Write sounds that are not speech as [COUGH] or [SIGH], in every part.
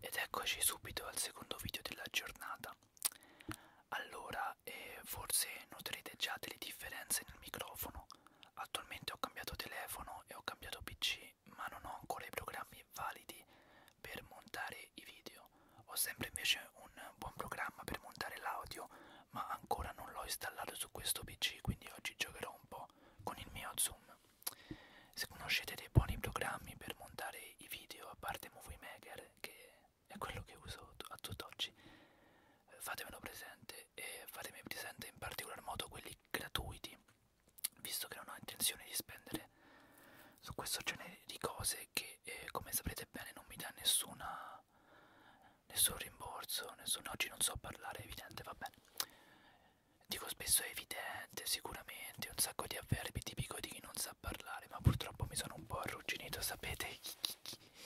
Ed eccoci subito al secondo video della giornata. Allora, eh, forse noterete già delle differenze nel microfono. Attualmente ho cambiato telefono e ho cambiato PC, ma non ho ancora i programmi validi per montare i video. Ho sempre invece un buon programma per montare l'audio, ma ancora non l'ho installato su questo PC, quindi oggi giocherò un po' con il mio Zoom. Se conoscete dei buoni programmi per montare i video, a parte Movie Maker, che è quello che uso a tutt'oggi, fatemelo presente e fatemi presente in particolar modo quelli gratuiti, visto che non ho intenzione di spendere su questo genere di cose che, eh, come saprete bene, non mi dà nessuna, nessun rimborso, nessun... oggi non so parlare, evidente, va bene dico spesso è evidente, sicuramente, un sacco di avverbi tipico di chi non sa parlare, ma purtroppo mi sono un po' arrugginito, sapete? [LAUGHS]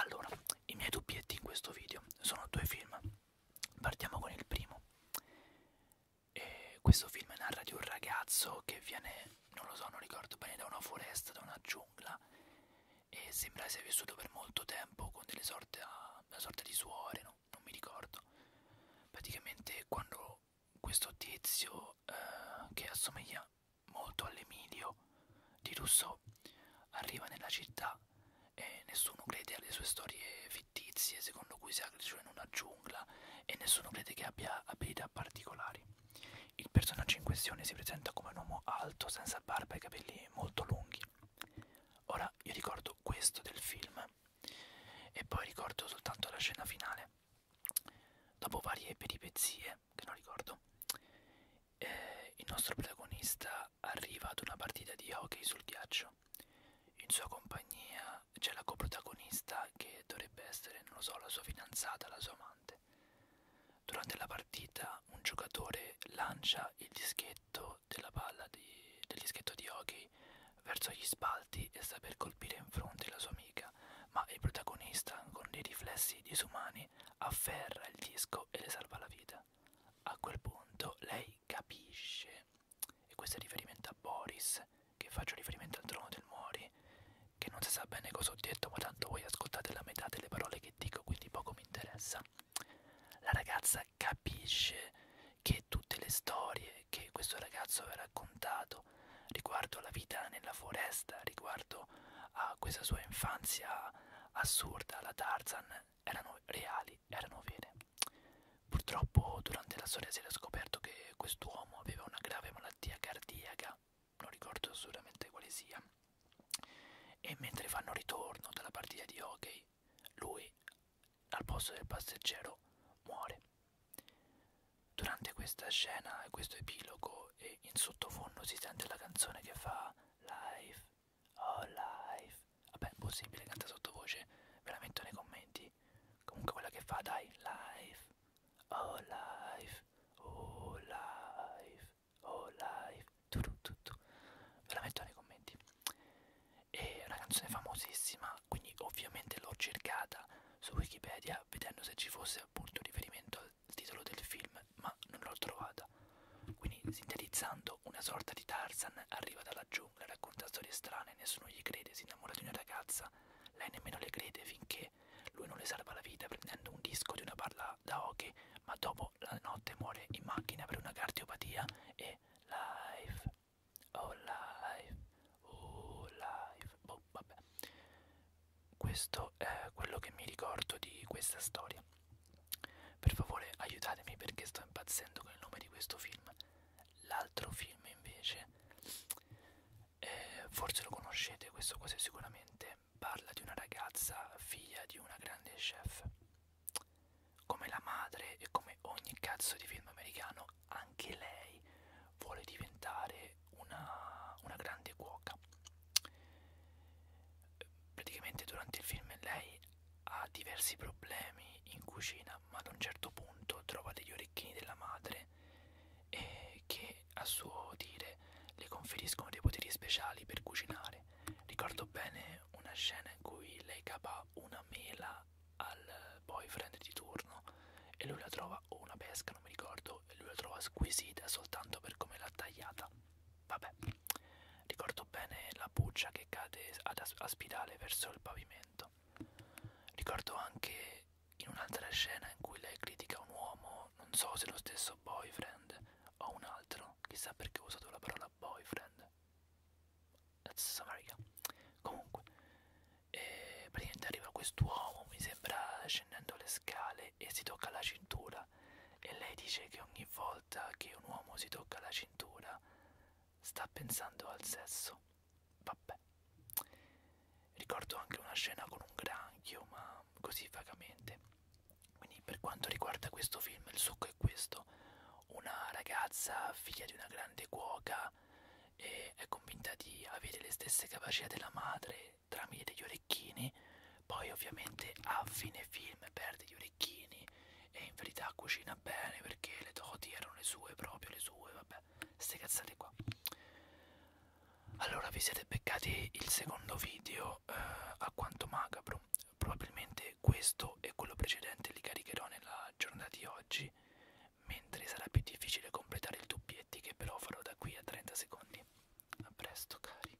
Allora, i miei dubbietti in questo video sono due film. Partiamo con il primo. E questo film narra di un ragazzo che viene, non lo so, non ricordo bene, da una foresta, da una giungla e sembra sia vissuto per molto tempo con delle sorte, a, una sorta di suore, no? non mi ricordo. Praticamente quando questo tizio eh, che assomiglia molto all'Emilio di Rousseau arriva nella città e nessuno crede alle sue storie fittizie secondo cui si cresciuto in una giungla e nessuno crede che abbia abilità particolari. Il personaggio in questione si presenta come un uomo alto, senza barba e capelli molto lunghi. Ora io ricordo questo del film e poi ricordo soltanto la scena finale. Dopo varie peripezie, che non ricordo, eh, il nostro protagonista arriva ad una partita di hockey sul ghiaccio. In sua compagnia c'è la coprotagonista che dovrebbe essere, non lo so, la sua fidanzata, la sua amante. Durante la partita un giocatore lancia il dischetto della palla di, del dischetto di hockey verso gli spalti e sta per colpire in fronte la sua amica, ma il protagonista con dei riflessi disumani afferra il disco e le salva la vita. A quel punto lei capisce, e questo è riferimento a Boris, che faccio riferimento al trono del Mori, che non si sa bene cosa ho detto, ma tanto voi ascoltate la metà delle parole che dico, quindi poco mi interessa. La ragazza capisce che tutte le storie che questo ragazzo aveva raccontato riguardo alla vita nella foresta, riguardo a questa sua infanzia assurda, la Tarzan, erano reali, erano vere. Purtroppo durante la storia si era scoperto che quest'uomo aveva una grave malattia cardiaca non ricordo assolutamente quale sia, e mentre fanno ritorno dalla partita di hockey, lui, al posto del passeggero, muore. Durante questa scena e questo epilogo, e in sottofondo si sente la canzone che fa Life, oh life, vabbè, possibile, canta sottovoce, ve la metto nei commenti. Comunque quella che fa, dai, life, oh life, oh life, oh life, tutto, ve la metto nei commenti. È una canzone famosissima, quindi ovviamente l'ho cercata su Wikipedia vedendo se ci fosse appunto riferimento al titolo del film, ma non l'ho trovata. Quindi sintetizzando, una sorta di Tarzan arriva dalla giungla, racconta storie strane, nessuno gli crede, si innamora di una ragazza, lei nemmeno le crede finché morte. Lui non le salva la vita prendendo un disco di una palla da hockey, ma dopo la notte muore in macchina per una cardiopatia e life, oh life, oh life, boh, vabbè. Questo è quello che mi ricordo di questa storia. Per favore aiutatemi perché sto impazzendo con il nome di questo film. L'altro film invece eh, forse lo conoscete, questo quasi sicuramente, parla di una ragazza figlia di una grande chef. Come la madre e come ogni cazzo di film americano, anche lei vuole diventare una, una grande cuoca. Praticamente durante il film lei ha diversi problemi in cucina ma ad un certo punto trova degli orecchini della madre eh, che a suo dire le conferiscono dei poteri speciali per cucinare. Ricordo bene una scena in cui lei capa una mela al boyfriend di turno e lui la trova, o una pesca, non mi ricordo, e lui la trova squisita soltanto per come l'ha tagliata. Vabbè, ricordo bene la buccia che cade ad as- a spirale verso il pavimento. Ricordo anche in un'altra scena in cui lei critica un uomo, non so se lo stesso boyfriend o un altro, chissà perché ho usato la parola boyfriend. That's Samaria. Comunque, eh, praticamente arriva quest'uomo, mi sembra, scendendo le scale e si tocca la cintura. E lei dice che ogni volta che un uomo si tocca la cintura sta pensando al sesso. Vabbè. Ricordo anche una scena con un granchio, ma così vagamente. Quindi per quanto riguarda questo film, il succo è questo. Una ragazza, figlia di una grande cuoca, e è convinta di avere le stesse capacità della madre tramite degli orecchini, poi ovviamente a fine film perde gli orecchini orecchini e in verità cucina bene perché le doti erano le sue, proprio le sue, vabbè, ste cazzate qua. Allora vi siete beccati il secondo video eh, a quanto macabro, probabilmente questo e quello precedente li caricherò nella giornata di oggi, mentre sarà più difficile completare il dubbietti che però farò da qui a 30 secondi. A presto cari.